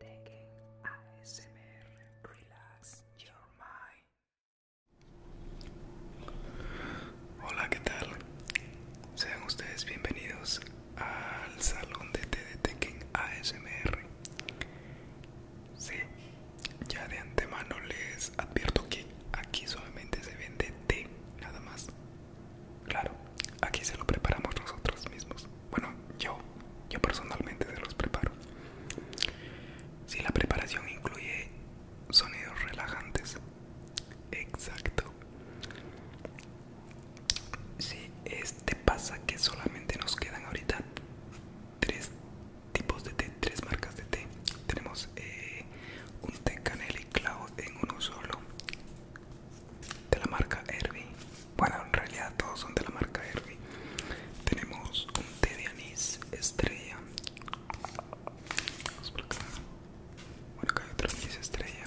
Tekken ASMR Relax Your Mind. Hola, ¿qué tal? Sean ustedes bienvenidos al salón de té de Tekken ASMR. Sí, ya de antemano les advierto que aquí solamente se vende té, nada más. Claro, aquí se lo preparamos nosotros mismos. Bueno, yo, yo personalmente se los preparo. Si la preparación incluye sonidos relajantes, exacto. Si este pasa que solamente nos quedan ahorita tres tipos de té, tres marcas de té. Tenemos eh, un té canela y clavo en uno solo de la marca Herbie. Bueno, en realidad todos son de la marca Herbie. Tenemos un té de anís estrella. Vamos por acá. Bueno, acá hay otro anís estrella.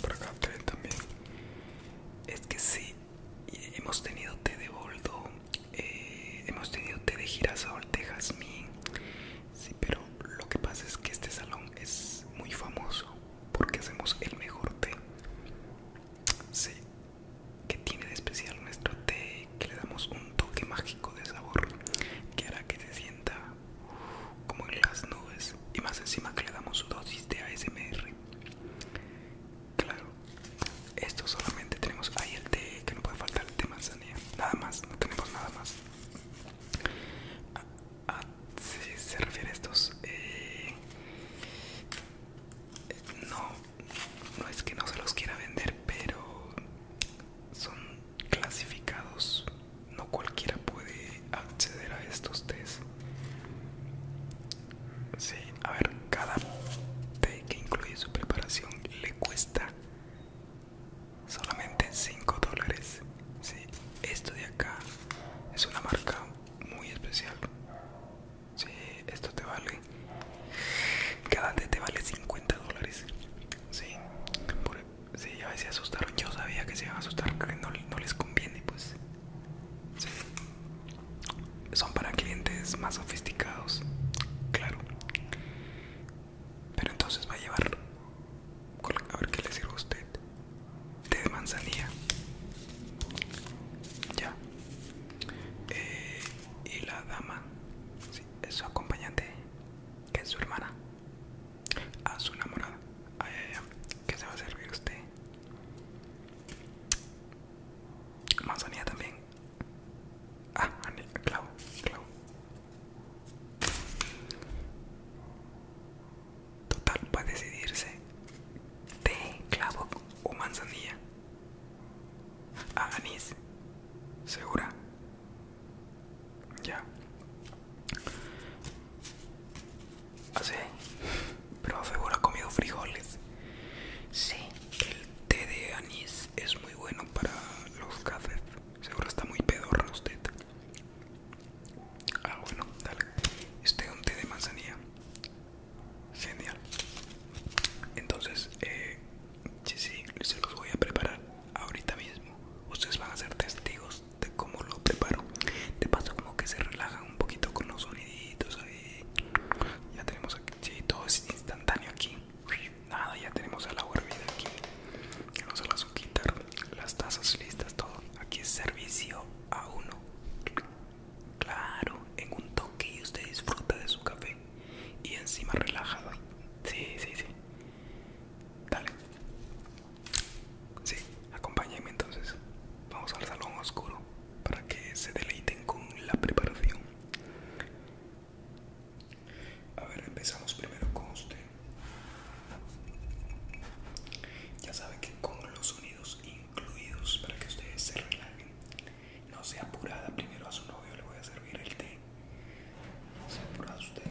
Por acá también. Es que sí, hemos tenido té de boldo, eh, hemos tenido té de girasol, de jazmín, Sí, pero lo que pasa es que este salón es muy famoso porque hacemos el mejor té. Sí, que tiene de especial nuestro té, que le damos un toque mágico de sabor que hará que se sienta como en las nubes y más encima que le damos dosis de ASMR. Claro, esto solamente tenemos ahí el té, que no puede faltar el té manzanilla, nada más, no tenemos nada más. Ah, si se refiere a estos eh, no no es que no se los quiera vender pero son clasificados no cualquiera puede acceder a estos test sí a ver cada té que incluye su preparación le cuesta solamente 5 dólares si esto de acá es una marca muy especial si esto te vale cada te vale 50 dólares si, ya a veces asustaron yo sabía que se iban a asustar que no, les conviene pues son para clientes más sofisticados claro pero entonces va a llevar, a ver qué le sirve a usted, de manzanilla. Ya. Eh, y la dama, sí, es su acompañante, que es su hermana, a su enamorada. Ay, ay, ¿Qué se va a servir usted? Manzanilla también. Ah, clavo, clavo. Total, para decidirse, té, clavo o manzanilla. Ah, anís, segura. Ya. Así, pero seguro ha comido frijoles. Sí, el té de anís es muy bueno para los cafés. Seguro está muy pedorra usted. Ah, bueno, dale. Este un té de manzanilla. Genial. Entonces, eh, sí, se los voy a preparar ahorita mismo. Ustedes van a ser testigos de cómo lo preparo. De paso, como que se relaja un poquito con los soniditos ahí. Ya tenemos aquí, sí, todo es instantáneo aquí. Nada, ya tenemos el agua hervida aquí. Vamos a la quitar las tazas listas, todo. Aquí es servicio a uno. Claro, en un toque y usted disfruta de su café. Y encima relajada. Sí, sí, sí. Dale. Sí, acompáñenme entonces. Vamos al salón oscuro para que se deleiten con la preparación. A ver, empezamos primero con usted. Ya sabe que con los sonidos incluidos para que ustedes se relajen. No sea apurada, primero a su novio le voy a servir el té. No sea apurada usted.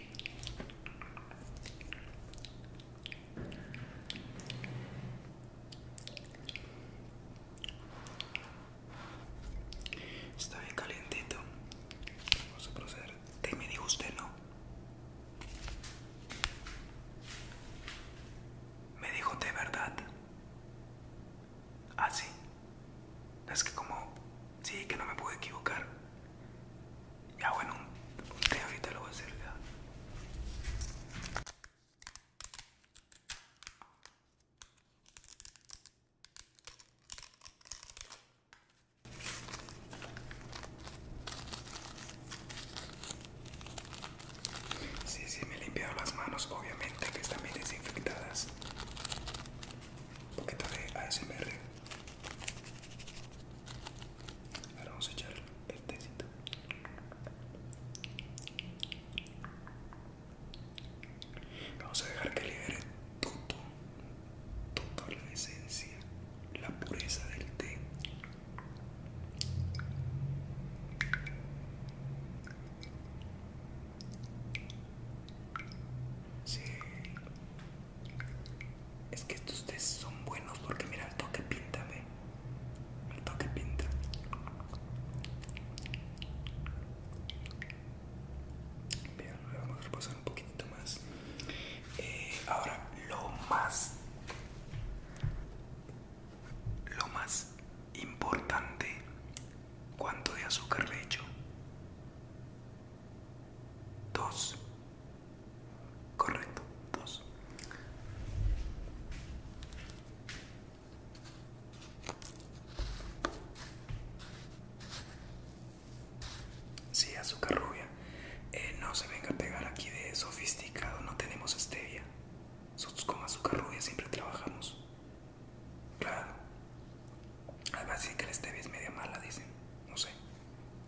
Está bien calientito. Vamos a proceder. ¿Qué me dijo usted, no? Me dijo de verdad. Ah, sí. Es que como... Sí, que no me puedo equivocar. Ya bueno, un ahorita lo voy a hacer ya. Sí, sí, me he limpiado las manos, obviamente que están bien desinfectadas. Un poquito de ASMR vamos a echar el tecito. Vamos a dejar que libere todo, toda la esencia, la pureza del té. Sí. Es que estos test son buenos porque mira el toque pinta, ve. El toque pinta. Bien, vamos a repasar un poquito más. Eh, ahora, lo más. Lo más importante. ¿Cuánto de azúcar le hecho Dos. Correcto, dos. Sí, azúcar rubia. Eh, no se venga a pegar aquí de sofisticado, no tenemos stevia. Nosotros con azúcar rubia siempre trabajamos. Claro. Además si que la stevia es media mala, dicen. No sé.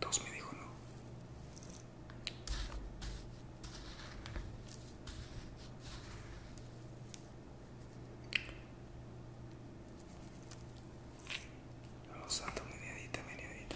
Dos me dijo no. Los oh, santos, tomar mediadita, mediadita,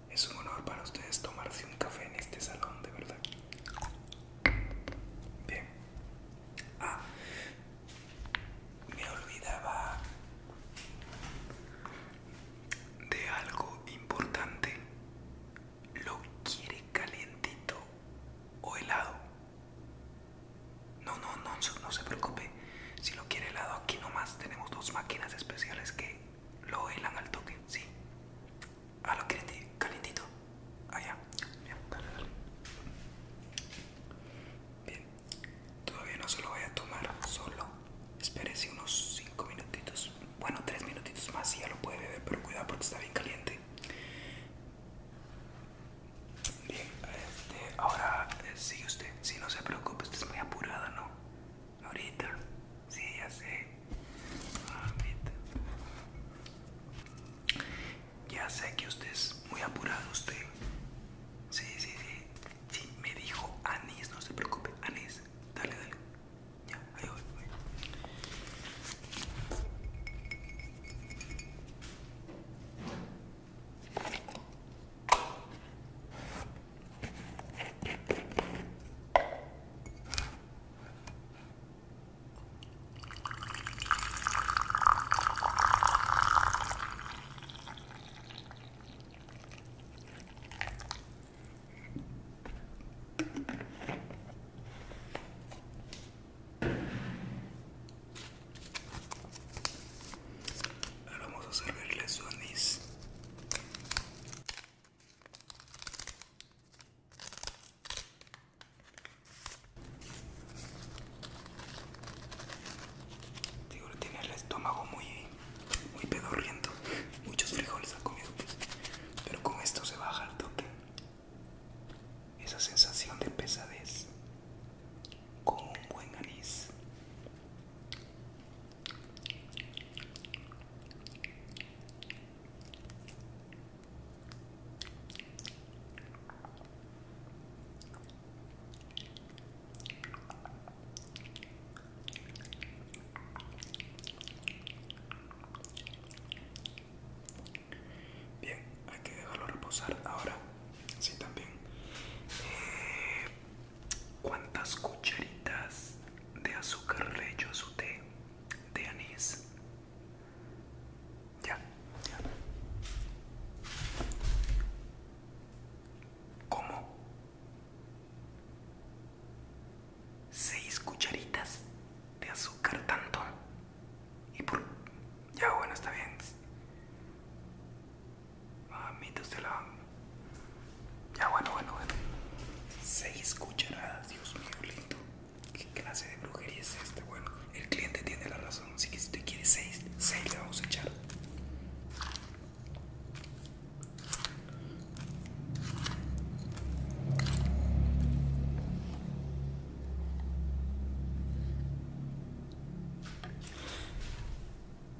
Es un honor para ustedes tomarse un café en este salón, de verdad. Bien. Ah, me olvidaba de algo importante. ¿Lo quiere calientito o helado? No, no, no, no se preocupe. Si lo quiere helado, aquí nomás tenemos dos máquinas especiales que lo bailan al toque, sí. Ah, lo quieren calientito. Ah, ya. Bien, Todavía no se lo voy a tomar solo. Espérese unos 5 minutitos. Bueno, 3 minutitos más y ya lo puede beber, pero cuidado porque está bien caliente. Bien, este, ahora eh, sigue usted. Si no se preocupe, usted es muy apurada, ¿no? Ahorita, sí, ya sé. Ahorita. Ya sé que usted es muy apurado, usted. Sí, sí, sí. Sí, me dijo Anis no se preocupe. Anis dale, dale. Ya, ahí voy. Ahora vamos a servirle su anís tiene el estómago muy, muy pedorriento. Muchos frijoles ha comido, Pero con esto se baja el toque. Esa sensación de pesadez. Con un buen anís Bien, hay que dejarlo reposar ahora. Sí, también. Eh, cuántas cucharitas de azúcar le echo a su té de anís. Ya, ya. ¿Cómo? ¿Seis cucharitas de azúcar tanto? ¿Y por...? Ya, bueno, está bien. Mamita, ah, usted la... Ya, bueno, bueno, bueno. Seis cucharadas, Dios mío, lindo. ¿Qué clase de brujería es esta? Bueno, el cliente tiene la razón. Así que si usted quiere seis, seis le vamos a echar.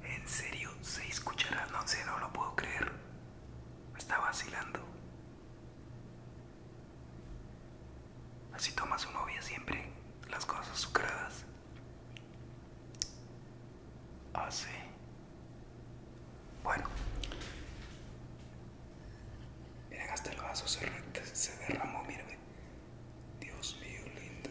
En serio, se escuchará No sé, no lo puedo creer. Me está vacilando. Así toma su novia siempre las cosas sucradas Así. Bueno. Miren, hasta el vaso se, derramó, miren. Dios mío, lindo.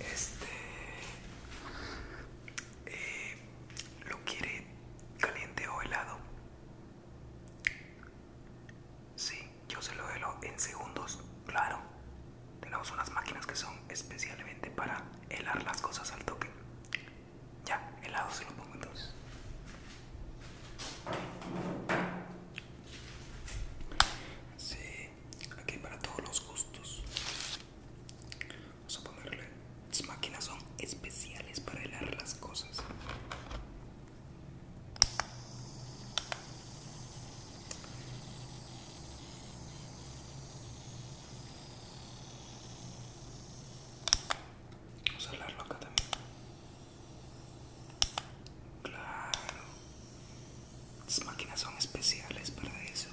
Este eh, lo quiere caliente o helado. Sí, yo se lo helo en segundos, claro. Tenemos unas máquinas que son especialmente para helar las cosas al toque. Ya, helado se lo pongo entonces. Sí, aquí para todos los gustos. Vamos a ponerle. Las máquinas son especiales para helar las cosas. Vamos a helarlo acá también. Claro. Las máquinas son especiales para eso.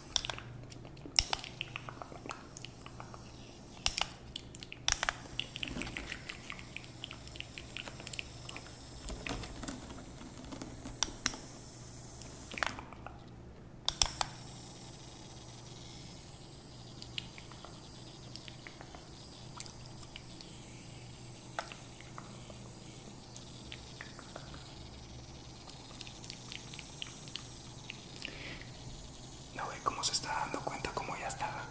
No ve cómo se está dando cuenta, cómo ya estaba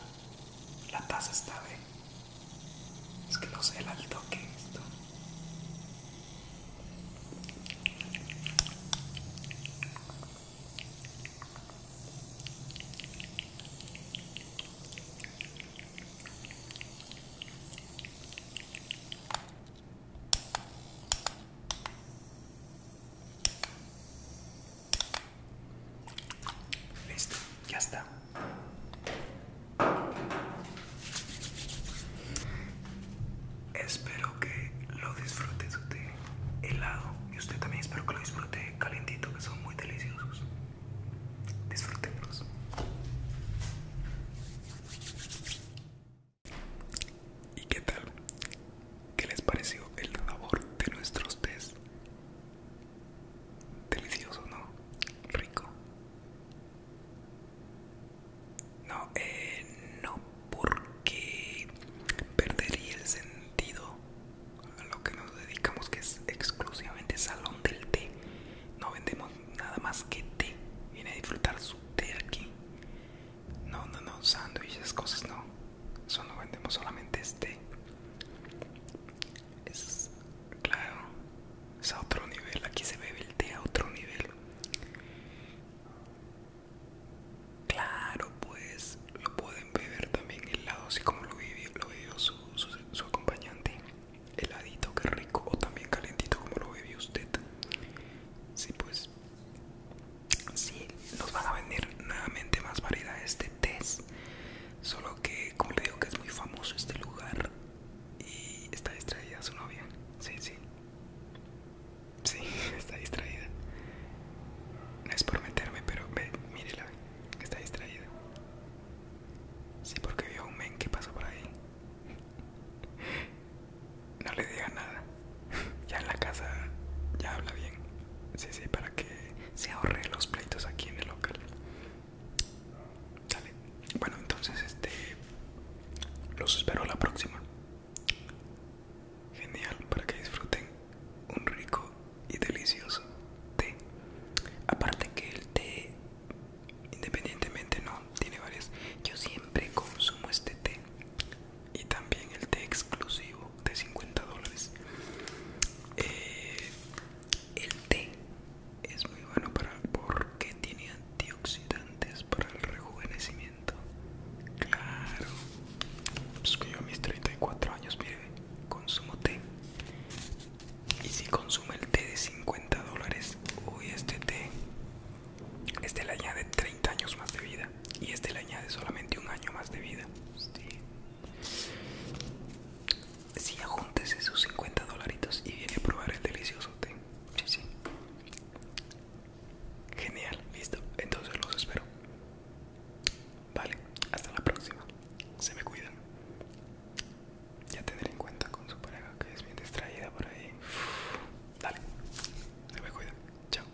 La taza está, ve. Es que no sé el alto que esto. Listo, ya está. Espero que lo disfrute su té helado y usted también espero que lo disfrute calentito que son muy deliciosos. Disfrutenlos ¿Y qué tal? ¿Qué les pareció el sabor de nuestros tés? Delicioso, ¿no? Rico. No, eh, no porque perdería el sentido a lo que nos dedicamos que es exclusivamente salón del té no vendemos nada más que té viene a disfrutar su té aquí no no no sándwiches cosas no eso no vendemos solamente este es claro es a otro nivel aquí se bebe el té a otro nivel Claro, pues lo pueden beber también lado así como lo vivió, su acompañante heladito que rico o también calentito como lo bebió usted sí pues sí nos van a vender nuevamente más variedades de test solo que como le digo que es muy famoso este lugar y está distraída su novia sí sí sí está distraída no es por meterme pero ve mírela está distraída Sí, porque vio a un men que pasó por ahí. No le diga nada. Ya en la casa ya habla bien. Sí, sí, para que se ahorre los pleitos aquí en el local. Dale. Bueno, entonces este los espero la próxima. Genial, para que disfruten un rico y delicioso té. Aparte que el té, independientemente no, tiene varias. Yo siempre consumo este té y también el té exclusivo de 50 dólares. Eh, el té es muy bueno para porque tiene antioxidantes para el rejuvenecimiento. Claro, yo a mis 34 años, mire, consumo té y si consume el té de 50 dólares, uy, este té, este le añade 30 años más de vida. Y este le añade solamente un año más de vida. Sí. Si sí, ajúntese sus 50 dolaritos y viene a probar el delicioso té. Sí, sí. Genial, listo. Entonces los espero. Vale, hasta la próxima. Se me cuidan. Ya tener en cuenta con su pareja que es bien distraída por ahí. dale, se me cuidan. Chao.